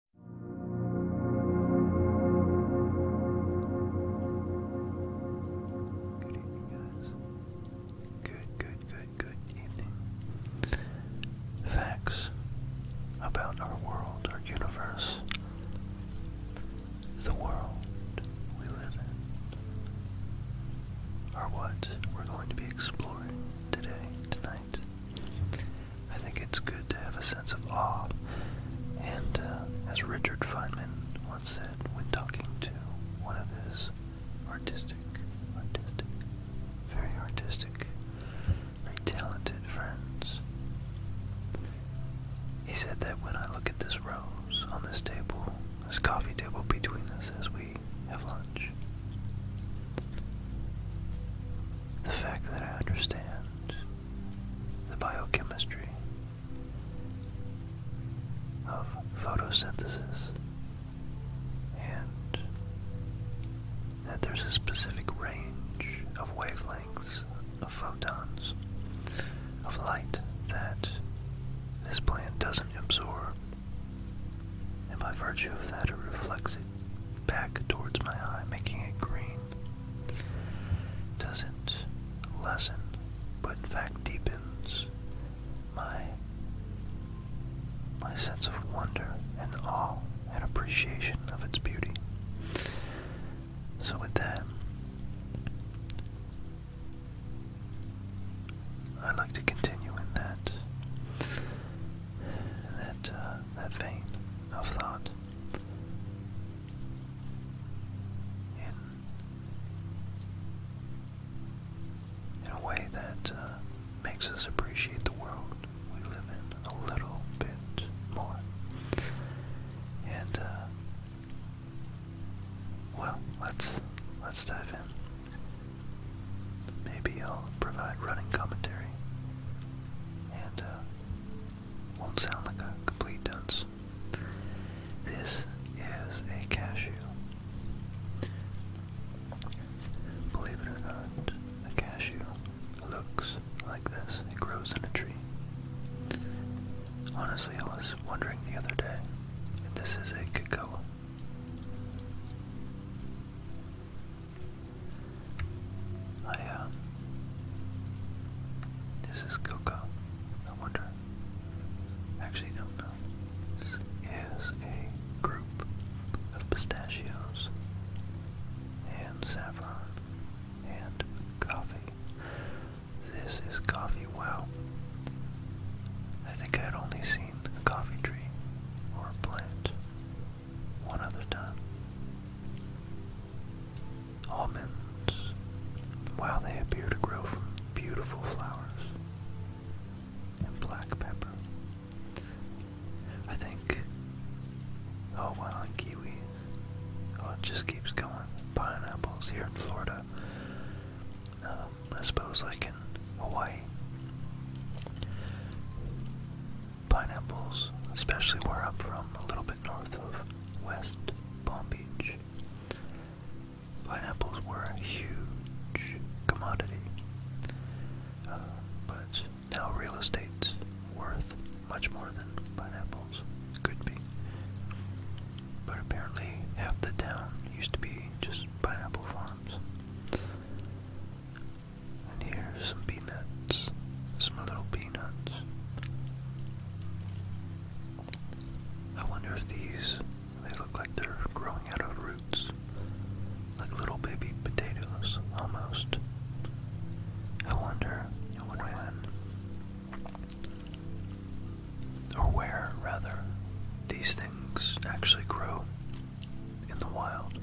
Good evening, guys. Good, good, good, good evening. Facts about our world, our universe, the world we live in, are what we're going to be exploring today, tonight. I think it's good to have a sense of awe. And uh, as Richard Feynman once said when talking to one of his artistic, artistic, very artistic, very talented friends, he said that when I look at this rose on this table, this coffee table between us as we have lunch, the fact that I understand the biochemistry of photosynthesis and that there's a specific range of wavelengths of photons of light that this plant doesn't absorb, and by virtue of that, it reflects it back towards my eye, making it green, doesn't lessen, but in fact deepens my my sense of wonder and awe and appreciation of its beauty. So with that, i like to continue in that that uh, that vein of thought in, a way that uh, makes us appreciate the world we live in a little bit more. And, uh, well, let's let's dive in. Maybe I'll provide running commentary and uh, won't sound like a complete dunce. This is a cashew. Believe it or not, a cashew looks like this. It grows in a tree. Honestly, I was wondering the other day if this is a cocoa. I uh, This is Coco. I wonder. Actually, don't know. This is a group of pistachios and saffron and coffee. This is coffee. Wow. I think I had only seen a coffee tree or plant one other time. Almonds, while they appear to grow from beautiful flowers, and black pepper. I think, oh wow, and kiwi? Oh, it just keeps going. Pineapples here in Florida. Um, I suppose like in Hawaii pineapples, especially where I'm from, a little bit north of West Palm Beach. Pineapples were a huge commodity, uh, but now real estate's worth much more than pineapples could be. But apparently, half the town used to be just pineapple farms. And here's some peanuts, some little peanuts. I wonder if these, they look like they're growing out of roots, like little baby potatoes, almost. I wonder when, or where rather, these things actually grow in the wild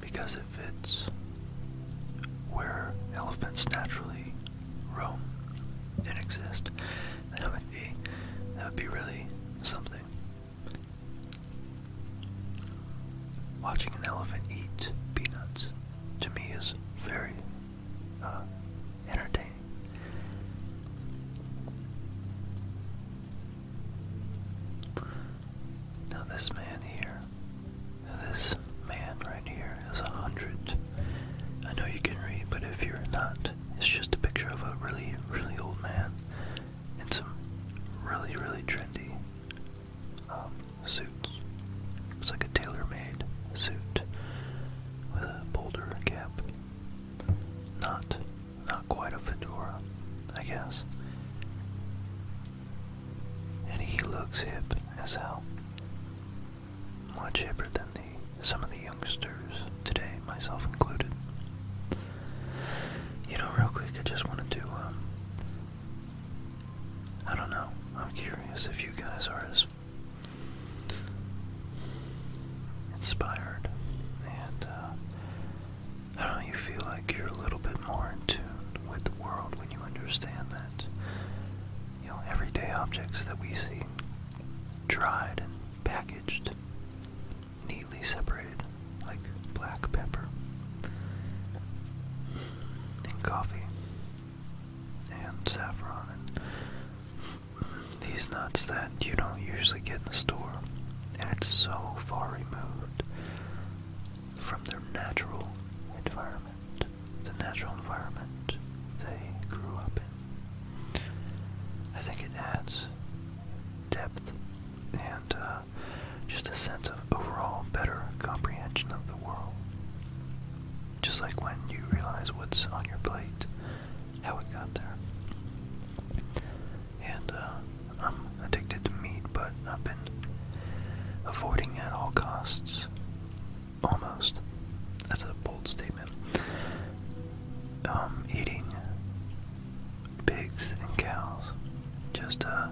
because it fits where elephants naturally roam and exist. That would be that would be really something. Watching an elephant eat peanuts to me is very uh, entertaining. Now this man here, this man right here is a hundred. I know you can read, but if you're not, it's just a picture of a really, really old man in some really, really trendy um, suits. It's like a tailor-made suit with a boulder cap. Not not quite a fedora, I guess. And he looks hip as hell. Much hipper than the some of the youngsters today, myself included. You know, real quick, I just wanted to, um, I don't know. I'm curious if you guys are as inspired and uh, I don't know, you feel like you're a little bit more in tune with the world when you understand that, you know, everyday objects that we see dried and packaged, neatly separated, like black pepper and coffee and saffron and these nuts that you don't usually get in the store, and it's so far removed from their natural environment, the natural environment they grew up in. I think it adds depth and uh, just a sense of overall better comprehension of the world. Just like when you realize what's on your plate, how it got there and uh, I'm addicted to meat, but I've been avoiding at all costs. Almost. That's a bold statement. Um, eating pigs and cows, just uh,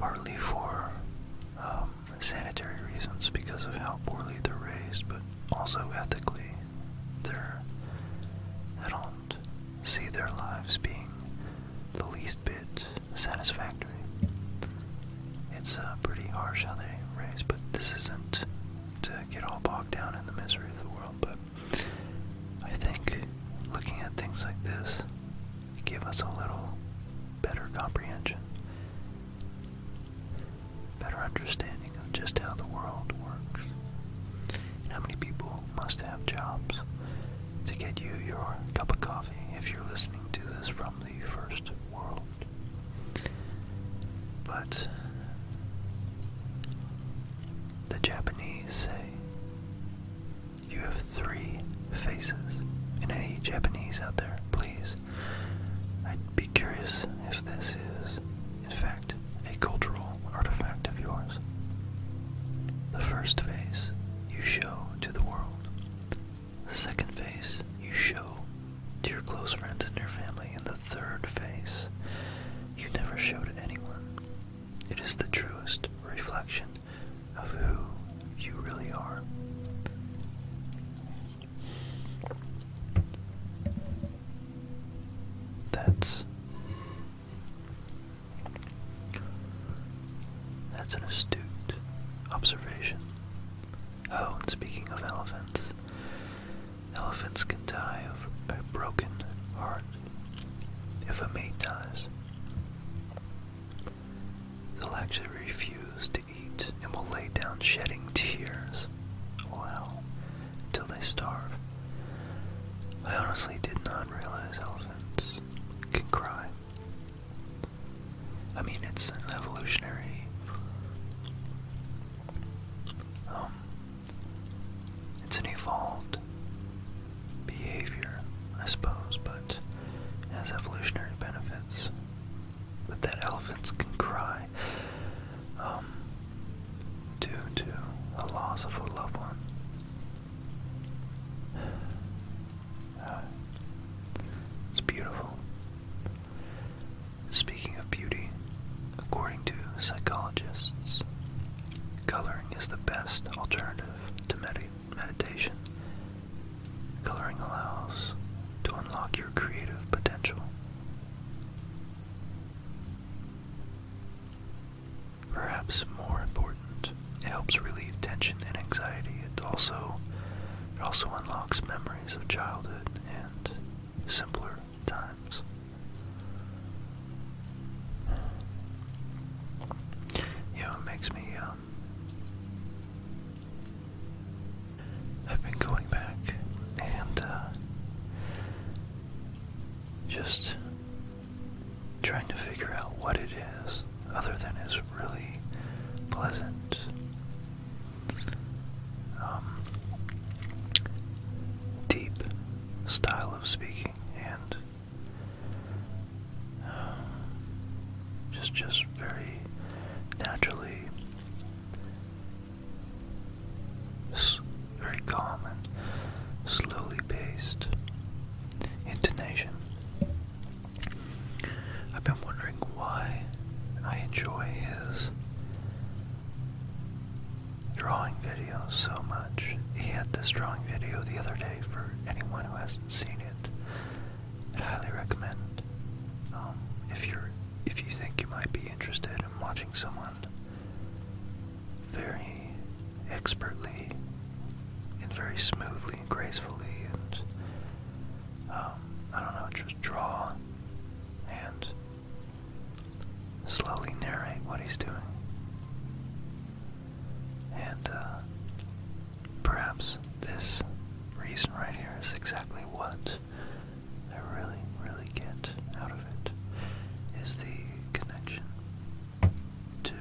partly for um, sanitary reasons because of how poorly they're raised, but also ethically they don't see their lives being the least bit satisfactory. It's uh, pretty harsh how they raise, but this isn't to get all bogged down in the misery of the world. But I think looking at things like this give us a little better comprehension, better understanding of just how the world works how many people must have jobs to get you your cup of coffee if you're listening to this from the first world. But the Japanese say you have three faces. And any Japanese out there, please, I'd be curious if this is in fact, a cultural artifact of yours. The first face you show to the world. The second face you show to your close friends and your family. And the third face you never show to anyone. It is the truest reflection of who you really are. That's that's an astute observation. Oh, and speaking of elephants, elephants can die of a broken heart if a mate dies. They'll actually refuse to eat and will lay down shedding tears. Wow till they starve. I honestly did not realize elephants can cry. I mean, it's an evolutionary. Um, it's an evolved behavior, I suppose, but it has evolutionary benefits. But that elephants can cry. Um, due to the loss of a loved one. Uh, it's beautiful. Speaking of beauty, according to psychologists, coloring is the best alternative to meditation. Coloring allows to unlock your creative potential. Perhaps more important, it helps relieve tension and anxiety. It also it also unlocks memories of childhood and simpler times. You it makes me um, I've been going back and uh, just trying to figure out what it is, other than it's really pleasant. Um, deep style of speaking and um, just just very naturally S very calm and slowly paced intonation. I've been wondering why I enjoy his drawing videos so much. He had this drawing video the other day for anyone who hasn't seen it. I would highly recommend um, if you're if you think you might be interested in watching someone very expertly and very smoothly and gracefully and um, I don't know, just draw and slowly narrate what he's doing. And uh, perhaps this reason right here is exactly what I really, really get out of of it is the connection to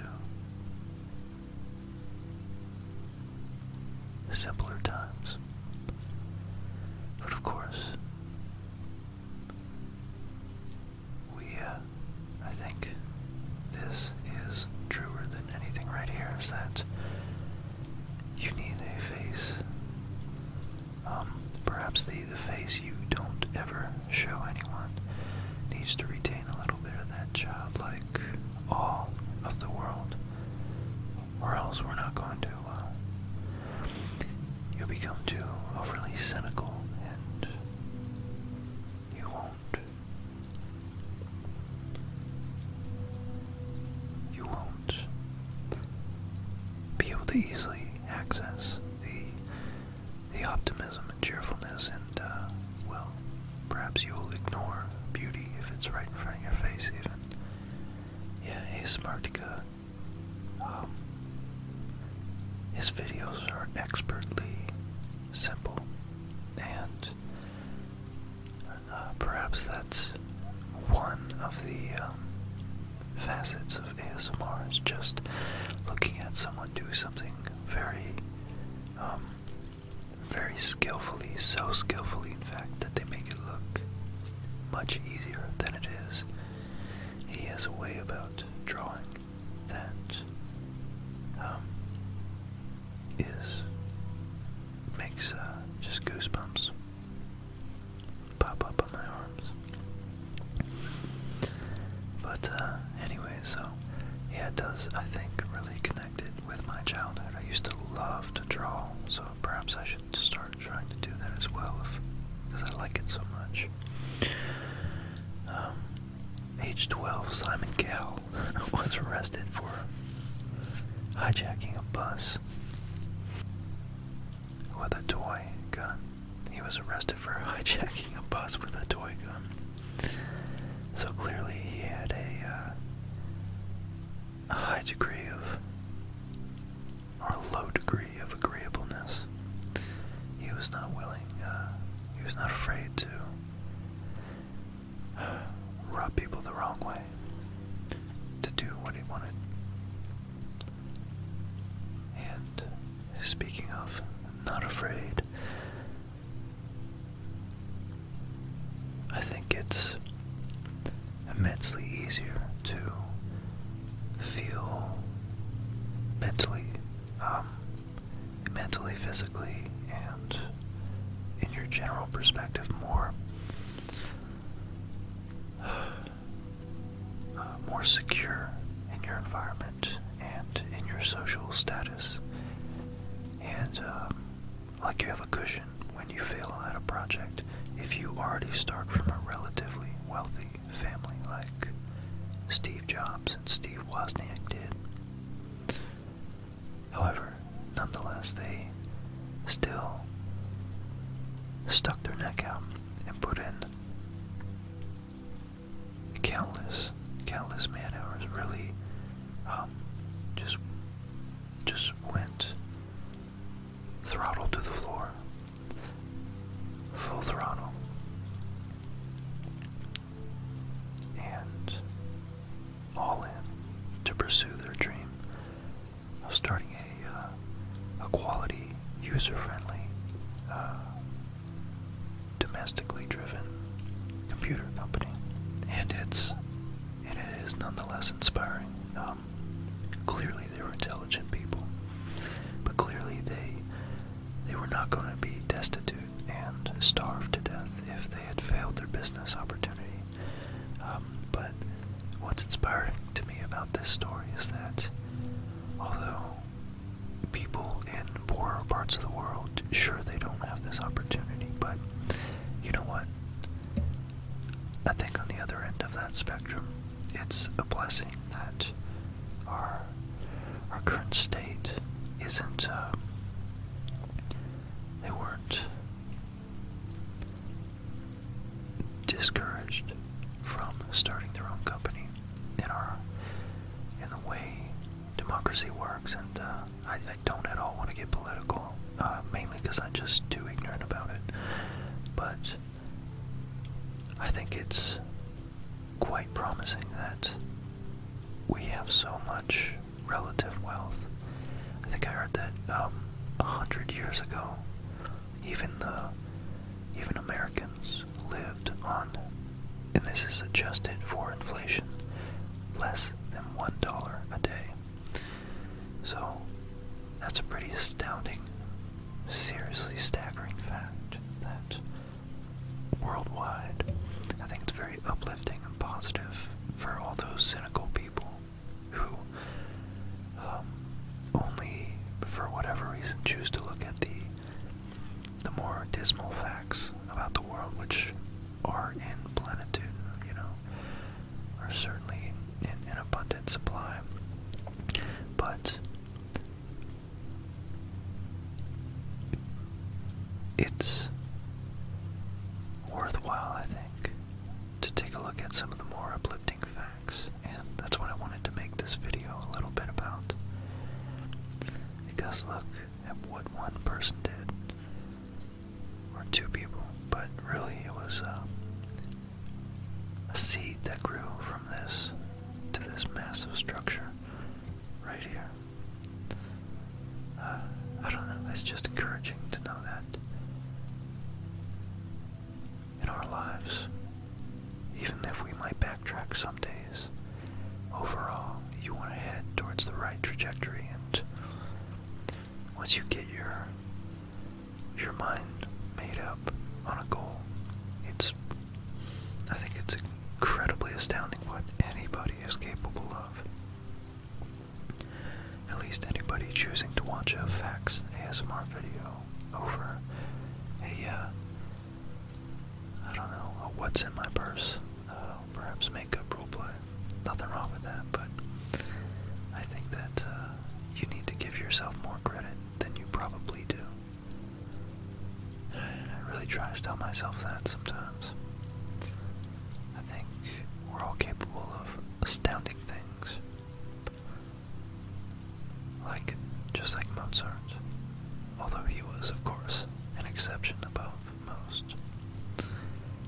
simpler times. But of course, we, uh, I think this is truer than anything right here is that you need a face um, perhaps the, the face you don't ever show anyone needs to retain a little bit of that childlike awe of the world, or else we're not going to. Uh, you'll become too overly cynical and you won't. You won't be able to easily access the the optimism and cheerfulness, and uh, well, perhaps you will ignore beauty if it's right in front of your face. Even yeah, hey Smartica, um, his videos are expertly simple, and uh, perhaps that's one of the um, facets of ASMR is just looking at someone do something very, um, very skillfully, so skillfully, in fact, that they make it look much easier than it is. He has a way about drawing that um, makes uh, just goosebumps pop up on my arms. But uh, anyway, so yeah, does, I think, really connect it with my childhood. I used to love to draw, so perhaps I should start trying to do that as well because I like it so much. Um, age 12, Simon Cowell was arrested for hijacking a bus with a toy gun. He was arrested for hijacking a bus with a toy gun. So clearly he had a, uh, a high degree of, or low degree of agreeableness. He was not willing, uh, he was not afraid to rob people the wrong way, to do what he wanted. And speaking of not afraid, I think it's immensely easier to feel mentally, um, mentally, physically, and in your general perspective more Uh, more secure in your environment and in your social status. And um, like you have a cushion when you fail at a project, if you already start from a relatively wealthy family like Steve Jobs and Steve Wozniak did. However, nonetheless, they still stuck their neck out and put in countless, countless man hours really um, just just went throttle to the floor. Full throttle. And all in to pursue their dream of starting a. Uh, a, quality, user-friendly, uh, domestically driven computer company, and it's it is nonetheless inspiring. Um, clearly, they were intelligent people, but clearly they they were not going to be destitute and starved to death if they had failed their business opportunity. Um, but what's inspiring to me about this story is that Although people in poorer parts of the world, sure, they don't have this opportunity, but you know what? I think on the other end of that spectrum, it's a blessing that our our current state isn't. Uh, they not discouraged from starting their own company in our in the way democracy works, and uh, I, don't at all want to get political, uh, mainly because I'm just too ignorant about it. But I think it's quite promising that we have so much relative wealth. I think I heard that um, a hundred years ago, even the even Americans lived on, and this is adjusted for inflation, less than one dollar a day. So that's a pretty astounding, seriously staggering fact that worldwide, I think it's very uplifting and positive for all those cynical people who um, only for whatever reason choose to look at the the more dismal facts about the world, which are in plenitude, you know, are certainly in, in abundant supply. But it's worthwhile, I think, to take a look at some of the more uplifting facts and that's what I wanted to make this video a little bit about. Because look at what one person did, or two people, but really it was uh, a seed that grew from this to this massive structure right here. Uh, I don't know, it's just encouraging to know that in our lives. Even if we might backtrack some days, overall, you want to head towards the right trajectory and once you get your your mind made up on a goal, it's I think it's incredibly astounding what anybody is capable of. At least anybody choosing to watch a facts ASMR video over a, uh, I don't know, what's in my purse, uh, perhaps makeup roleplay. Nothing wrong with that, but I think that uh, you need to give yourself more credit than you probably do. I really try to tell myself that sometimes. I think we're all capable of astounding things. Like, just like Mozart, although he was, of course, an exception above most.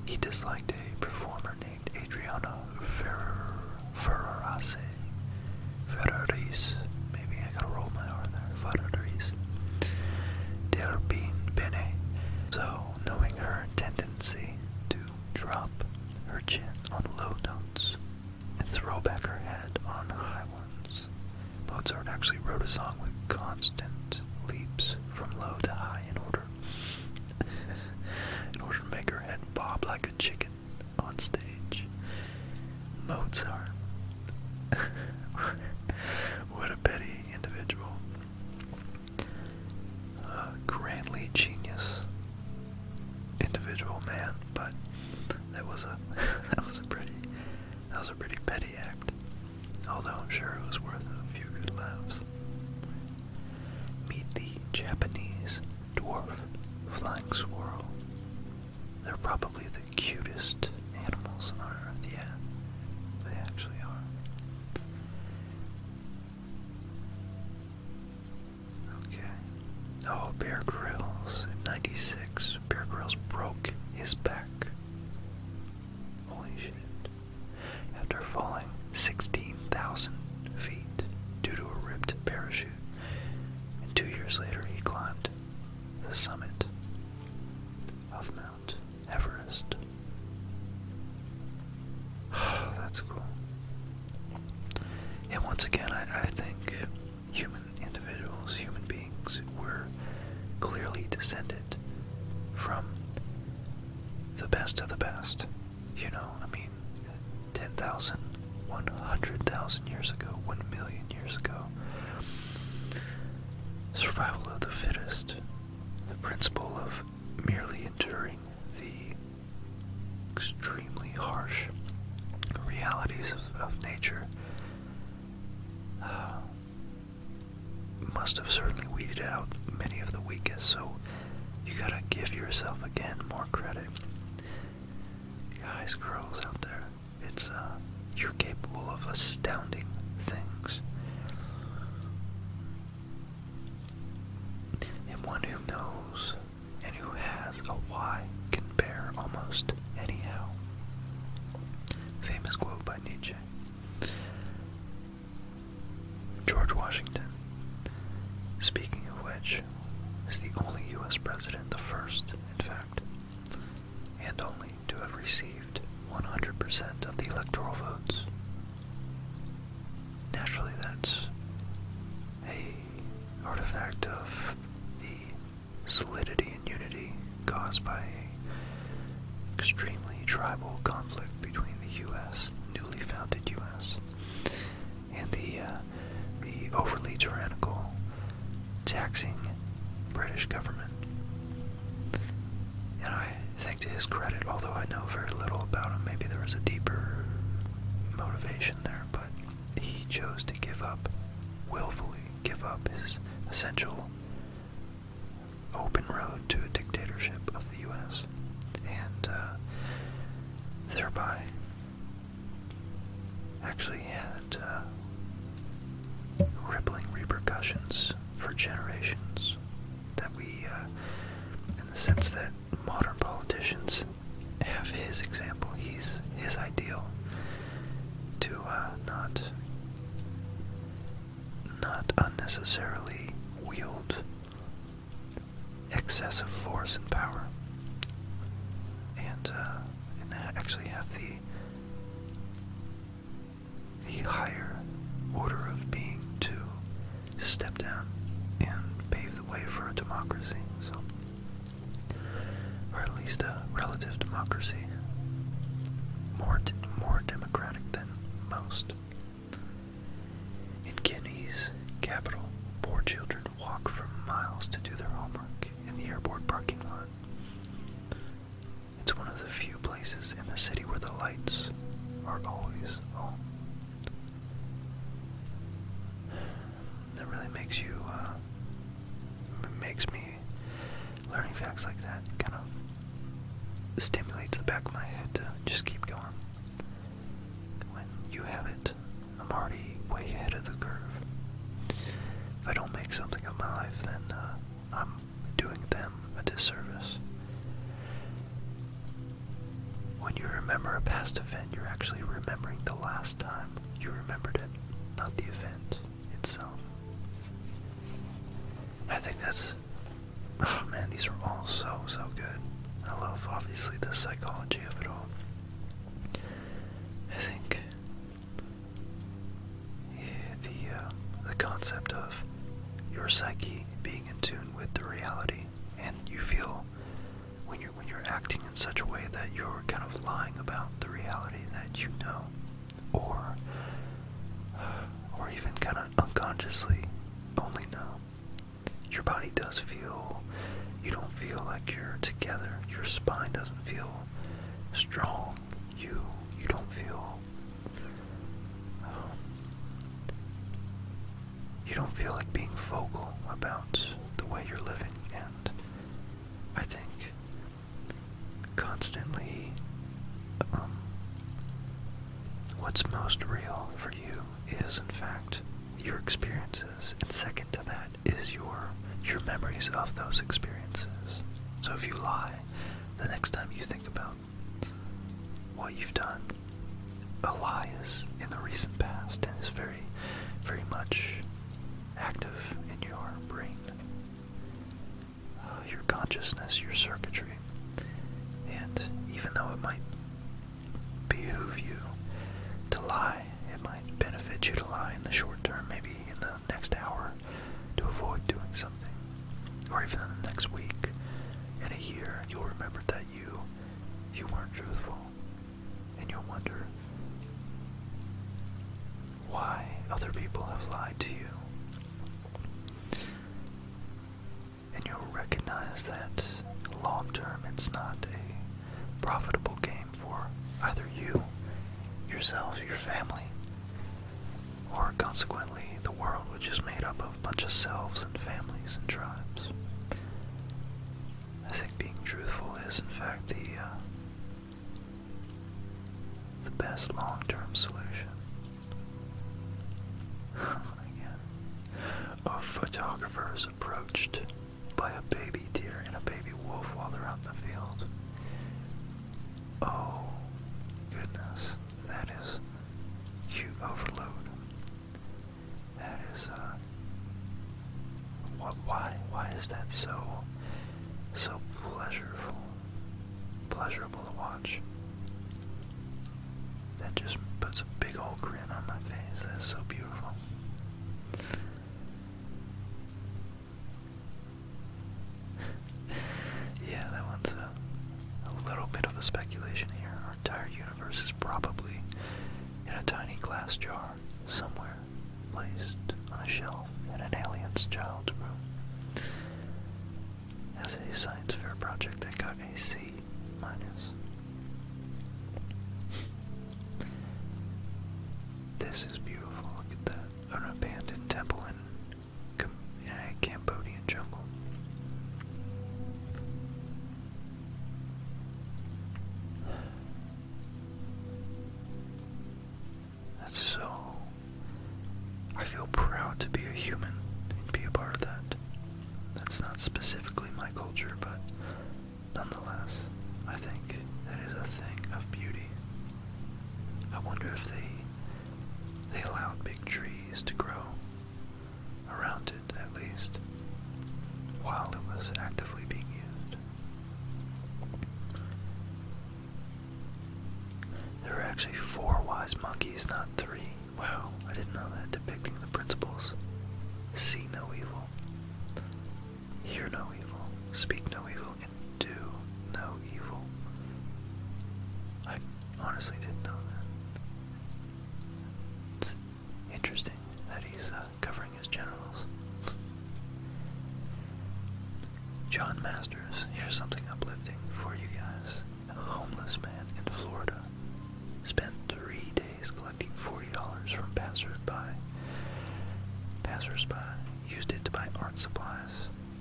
He disliked a performer named Adriano Ferrer, Ferrarase, Ferraris, maybe I gotta roll my R there, Ferraris, Der Bin Bene. So, knowing her tendency to drop her chin on low notes and throw back her head on high ones. Mozart actually wrote a song with constant leaps from low to high in order in order to make her head bob like a chicken on stage. Mozart. what a petty individual. Uh, grandly genius individual man, but that was a that was a pretty that was a pretty petty act. Although I'm sure it was worth a few good laughs. Meet the Japanese dwarf flying squirrel. They're probably the cutest animals on earth, yeah. They actually are. Okay. Oh, Bear Grylls in '96. Bear Grylls broke his back. Holy shit. After falling 16,000 feet due to a ripped parachute, and two years later he climbed the summit of Mount Everest. That's cool. And once again, I, think human individuals, human beings, were clearly descended from the best of the best. You know, I mean, 10,000, 100,000 years ago, 1 million years ago. Survival of the fittest, the principle of merely enduring the extremely harsh realities of, nature uh, must have certainly weeded out many of the weakest, so you gotta give yourself again more credit. Guys, girls out there, it's uh, you're capable of astounding things. And one who knows and who has a why can bear almost anyhow? Famous quote by Nietzsche. George Washington, speaking of which, is the only U.S. president, the first, in fact, and only to have received 100% of the electoral votes. Naturally, that's a artifact of the solidity and unity caused by extremely tribal conflict between the U.S., newly founded U.S., and the uh, the overly tyrannical, taxing British government. And I think to his credit, although I know very little about him, maybe there was a deeper motivation there, but he chose to give up, willfully give up his essential open road to a dictatorship of the U.S. and uh, thereby actually had uh, rippling repercussions for generations that we, uh, in the sense that modern politicians have his example, he's his ideal to uh, not not unnecessarily wield excessive force and power, and uh, and actually have the the higher order of being too just step down and pave the way for a democracy. So, or at least a relative democracy, more more democratic than most. In Guinea's capital, poor children walk for miles to do their homework in the airport parking lot. It's one of the few places in the city where the lights are always on. That really makes you, uh, makes me, learning facts like that kind of stimulates the back of my head to just keep going. When you have it, I'm already way ahead of the curve. If I don't make something of my life, then uh, I'm doing them a disservice. When you remember a past event, you're actually remembering the last time you remembered it, not the event itself. I think that's. Oh man, these are all so, so good. I love, obviously, the psychology of it all. I think yeah, the uh, the concept of your psyche being in tune with the reality, and you feel when you're when you're acting in such a way that you're kind of lying about the reality that you know, or or even kind of unconsciously only know. Your body does feel. You don't feel like you're together. Your spine doesn't feel strong. You you don't feel. Um, you don't feel like being vocal about the way you're living. And I think constantly um, what's most real for you is, in fact, your experiences. And second to that is your your memories of those experiences. So if you lie, the next time you think about what you've done, Elias in the recent past and is very, very much active in your brain, uh, your consciousness, your circuitry. And even though it might behoove you to lie, it might benefit you to lie in the short term, maybe in the next hour, to avoid doing something. Or even in the next week, in a year, you'll remember that you you weren't truthful and you'll wonder why other people have lied to you. And you'll recognize that long term it's not a profitable game for either you, yourself, your family, or consequently the world, which is made up of. A bunch of selves and families and tribes. I think being truthful is, in fact, the uh, the best long-term solution. a photographer is approached by a baby deer and a baby wolf while they're out in the field. Oh, goodness, that is cute overload. That is, uh, what, why, why is that so, so pleasurable, pleasurable to watch? That just puts a big old grin on my face. That's so beautiful. yeah, that one's a, little bit of a speculation here. Our entire universe is probably in a tiny glass jar somewhere placed on a shelf in an alien's child's room. As a science fair project that got a C minus. This is beautiful, look at that. An abandoned temple in, in a Cambodian jungle. That's so. I feel proud to be a human and be a part of that. That's not specifically my culture, but nonetheless, I think that is a thing of beauty. I wonder if they they allowed big trees to grow around it at least, while it was actively being used. There are actually four wise monkeys, not three. Wow, I didn't know that, depicting the principles. See no evil, hear no evil, speak no evil, and do no evil. I honestly didn't know that. Interesting that he's uh, covering his generals. John Masters, here's something uplifting for you guys. A homeless man in Florida spent three days collecting $40 from passersby. Passersby used it to buy art supplies,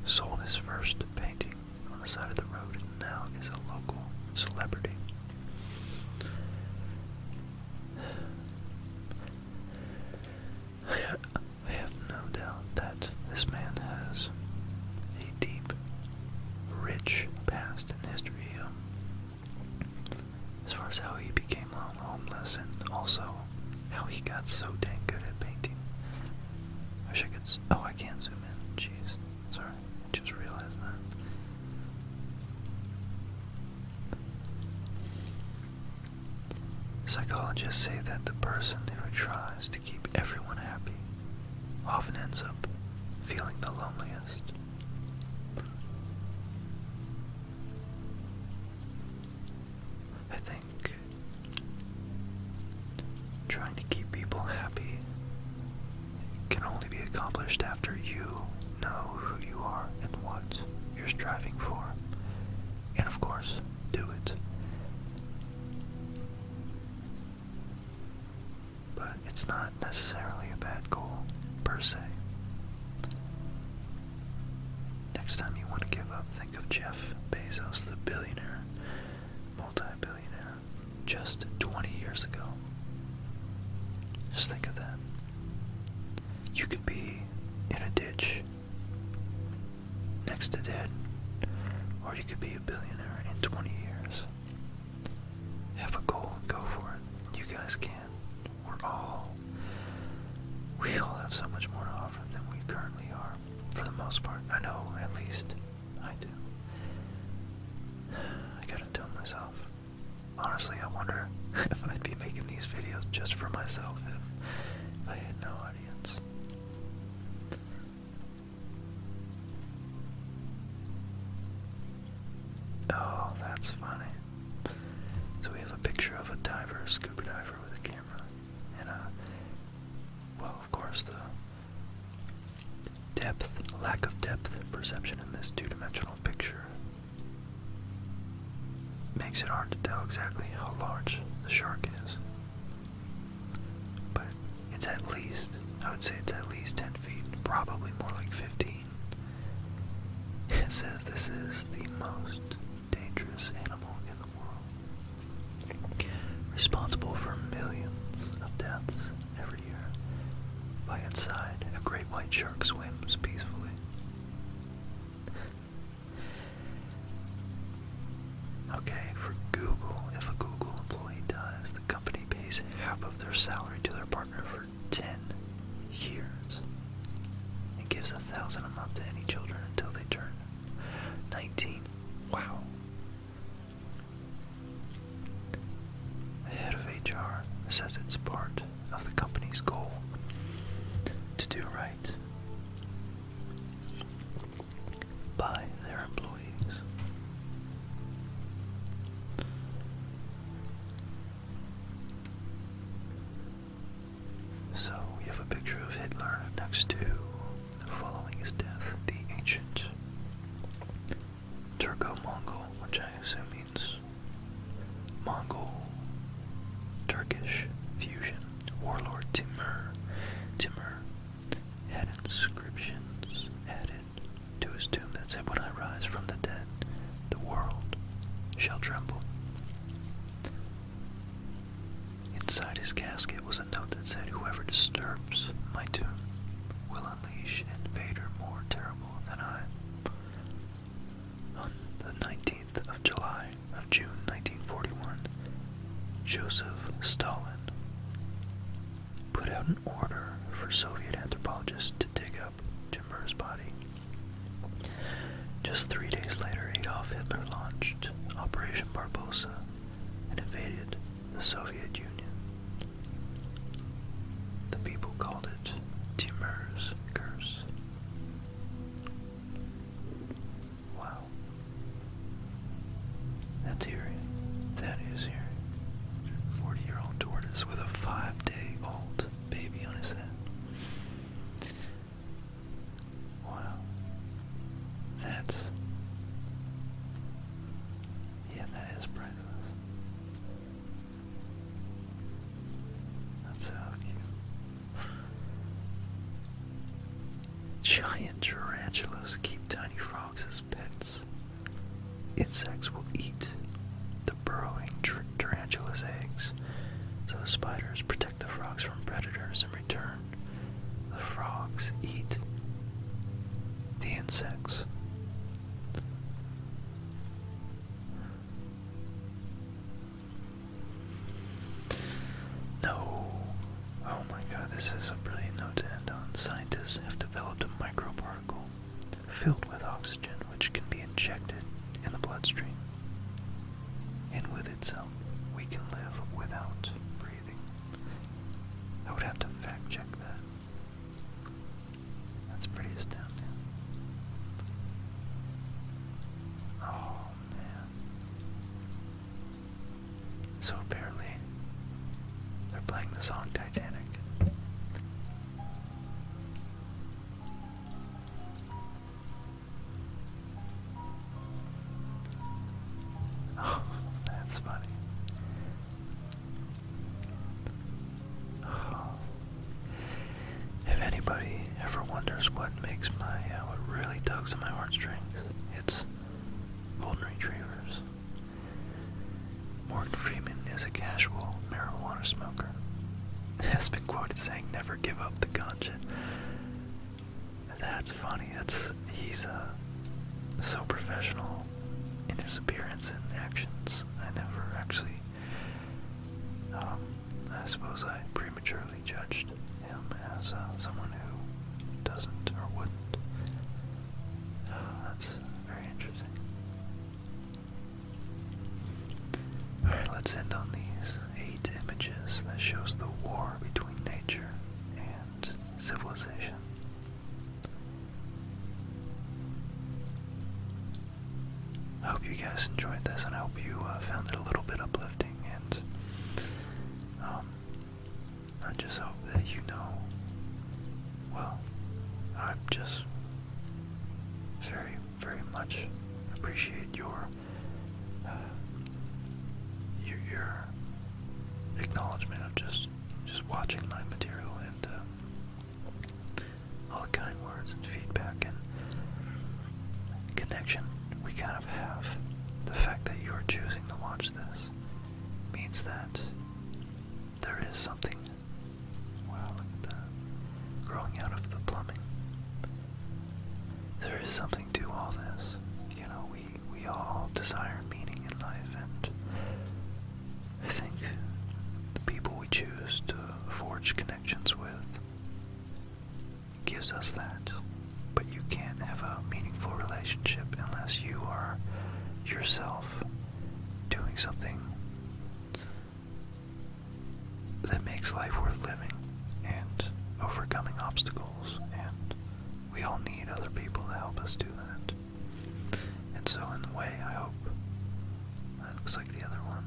sold his first painting on the side of the road, and now is a local celebrity. I, have no doubt that this man has a deep, rich past in history. Um, as far as how he became homeless and also how he got so dang good at painting. wish I could. Oh, I can zoom in. Jeez. Sorry just realize that. Psychologists say that the person who tries to keep everyone happy often ends up feeling the loneliest. I think trying to keep people happy can only be accomplished after you know who you are and what you're striving for. And of course, do it. But it's not necessarily a bad goal, per se. Next time you want to give up, think of Jeff Bezos, the billionaire, multi-billionaire just 20 years ago. Just think of that. You could be in a ditch next to dead, or you could be a billionaire in 20 years. Have a goal and go for it. You guys can. We're all, we all have so much more to offer than we currently are, for the most part. I know, at least. I do. I gotta tell myself. Honestly, I wonder if I'd be making these videos just for myself if, I had no audience. Oh, that's funny. So we have a picture of a diver, a scuba diver with a camera, and a, well, of course, the depth, lack of depth perception in this two-dimensional picture makes it hard to tell exactly how large the shark is. But it's at least, I would say it's at least 10 feet, probably more like 15. It says this is the most dangerous animal in the world, responsible for millions of deaths every year. By its side, a great white shark swims peacefully. Okay, for Google, if a Google employee dies, the company pays half of their salary to their partner for 10 years. It gives a thousand a month to any children until they turn 19. Wow. The head of HR says it's part of the company's goal to do right by their employees. So we have a picture of Hitler next to, following his death, the ancient Turco-Mongol, which I assume means Mongol-Turkish fusion. Warlord Timur, Timur had inscriptions added to his tomb that said, "When I rise from the dead, the world shall tremble." Inside his casket was a note that said, "Whoever disturbs my tomb will I unleash invader more terrible than I. On the 19th of July of June 1941, Joseph Stalin put out an order for Soviet anthropologists to dig up Jimmer's body. Just three days later, Adolf Hitler launched Operation Barbosa and invaded the Soviet Union. The people called it Timur's Curse. Wow. That's eerie. That is eerie. 40 year old tortoise with a five day old baby on his head. Wow. That's. Yeah, that is brutal. Giant tarantulas keep tiny frogs as pets. Insects will eat the burrowing tar tarantula's eggs, so the spiders protect the frogs from predators in return. The frogs eat the insects. No. Oh my god, this is a brilliant note to end on. Scientists have developed a microparticle filled with oxygen which can be injected in the bloodstream. And with itself, we can live without breathing. I would have to fact check that. That's pretty astounding. Oh man. So apparently, they're playing the song Titanic. Oh, that's funny. If anybody ever wonders what makes my, uh, what really tugs at my heartstrings, it's golden retrievers. Morgan Freeman is a casual marijuana smoker. Has been quoted saying, "Never give up the ganja." That's funny. That's he's uh, so professional in his appearance and actions. I never actually, um, I suppose I prematurely judged him as uh, someone who doesn't or wouldn't. Ah, that's very interesting. Alright, let's end on these eight images that shows the war between nature and civilization. I hope you guys enjoyed this and I hope you uh, found it a little bit uplifting and um, I just hope that you know, well, I'm just very, very much appreciate your, uh, your acknowledgement of just just just watching my material and uh, all the kind words and feedback and connection we kind of have. The fact that you're choosing to watch this means that there is something. Wow, Growing out of the plumbing. There is something to all this. You know, we we all desire meaning in life, and I think the people we choose to forge connections with gives us that. But you can't have a meaningful relationship unless you are yourself doing something that makes life worth living and overcoming obstacles, and we all need other people to help us do that. And so in the way, I hope that looks like the other one.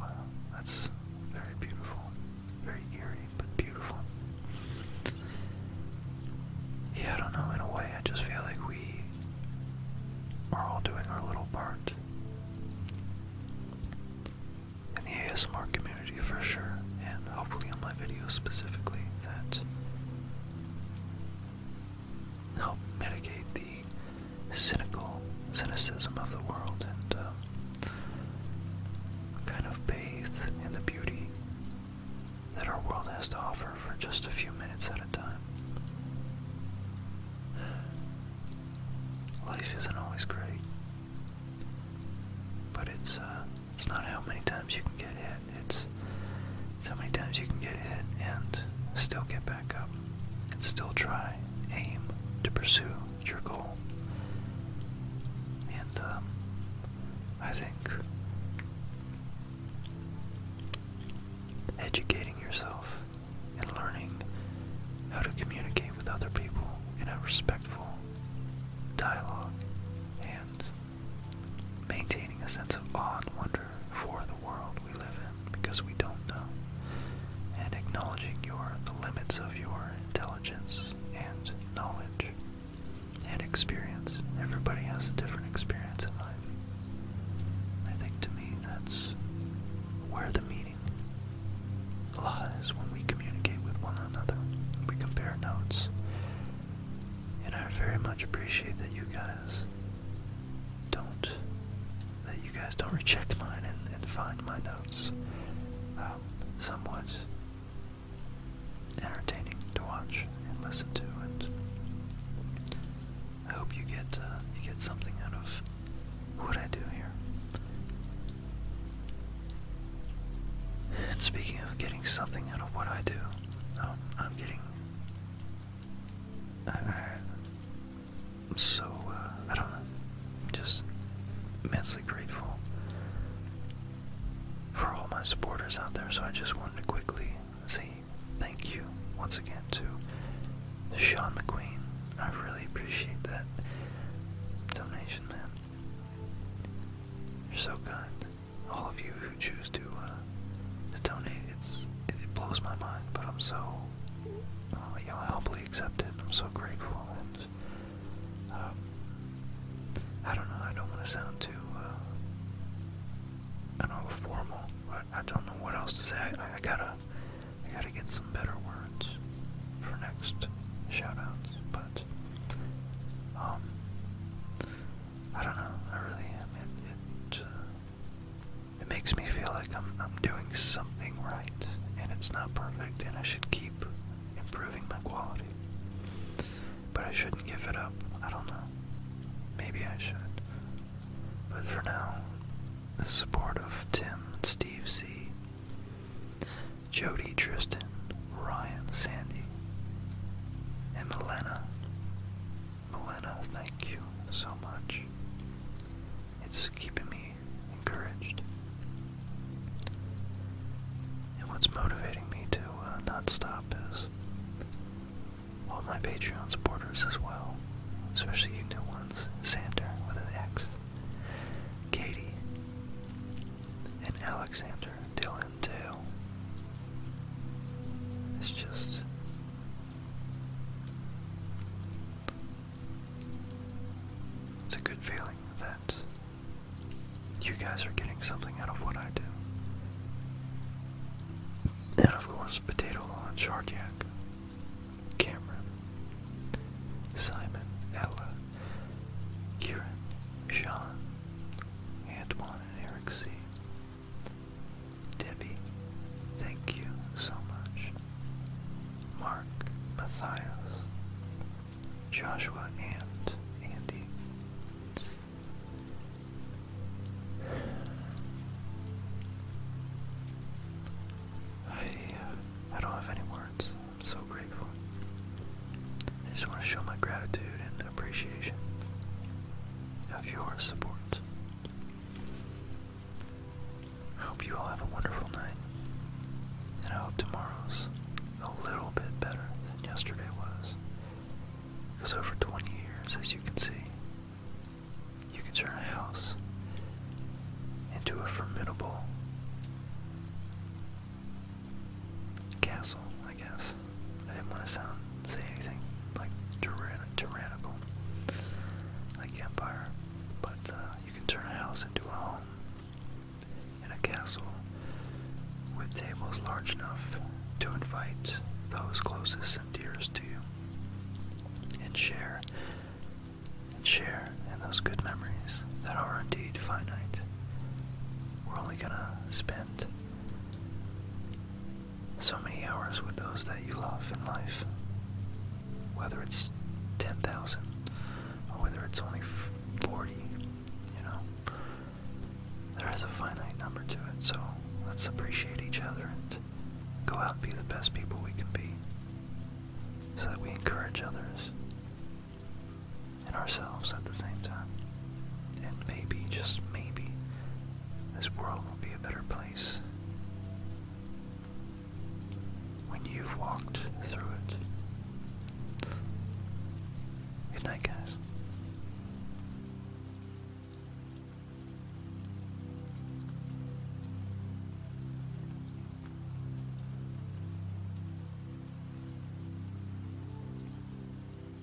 Wow, that's very beautiful. Very eerie, but beautiful. Yeah, I don't know, in a way, I just feel like we are all doing our little part. In the ASMR community for sure, and hopefully in my videos specifically, that help mitigate the cynical cynicism of the world and uh, kind of bathe in the beauty that our world has to offer for just a few minutes at a time. Life isn't always great, but it's uh, it's not how many times you can get hit, it's, how many times you can get hit and still get back up and still try, aim to pursue your goal. And um, I think educating yourself and learning how to communicate with other people in a respectful dialogue and maintaining a sense of awe and wonder for the world we live in because we don't know, and acknowledging your, the limits of your intelligence and knowledge and experience. Everybody has a different experience in life. I think to me that's where the meaning lies when we communicate with one another. We compare notes and I very much appreciate that you guys don't, that you guys don't reject mine and, find my notes um, somewhat entertaining to watch and listen to. And I hope you get uh, you get something out of what I do here. speaking of getting something out of what I do, um, I'm getting I, am so, uh, I don't know, just immensely grateful for all my supporters out there. So I just wanted to quickly say thank you once again to Sean McQueen. I really appreciate that donation, man. You're so kind all of you who choose to uh, to donate. It's it, blows my mind, but I'm so uh, you I humbly accept it. I'm so grateful, and um, I don't know. I don't want to sound too uh, know formal, but I don't know what else to say. I, gotta I gotta get some better words for next shoutouts, but um, I don't know. I really am. It uh, it, makes me feel like I'm I'm doing something right, and it's not perfect, and I should keep improving my quality. But I shouldn't give it up. I don't know. Maybe I should. But for now, the support of Tim, Steve C, Jody, Tristan, Ryan, Sandy, and Milena. Milena, thank you so much. It's keeping me encouraged. And what's motivating me to uh, not stop is all my Patreon supporters as well, especially you ones, Sander with an X, Katie, and Alexander, Dylan, will It's just it's a good feeling that you guys are getting something out of what I do. And of course, Potato on Hardiak, Cameron, Simon, Ella, Kieran, Sean, Antoine, John Eric C. Debbie, thank you so much. Mark, Matthias, Joshua, and Andy. I, uh, I don't have any words. I'm so grateful. I just want to show my gratitude and appreciation of your support. I hope you all have a wonderful night, and I hope tomorrow's a little bit better than yesterday was. Because over 20 years, as you can see, you can turn a house into a formidable castle, I guess. I didn't want to sound say anything like tyrannical, like empire. But uh, you can turn a house into a home and a castle with tables large enough to invite those closest and dearest to you, and share and share in those good memories that are indeed finite. We're only gonna spend so many hours with those that you love in life, whether it's 10,000 or whether it's only 40, you know, there is a finite number to it, so let's appreciate each other and go out and be the best people we can be so that we encourage others and ourselves at the same time. And maybe, just maybe, this world will be a better place when you've walked through it. Good night, guys.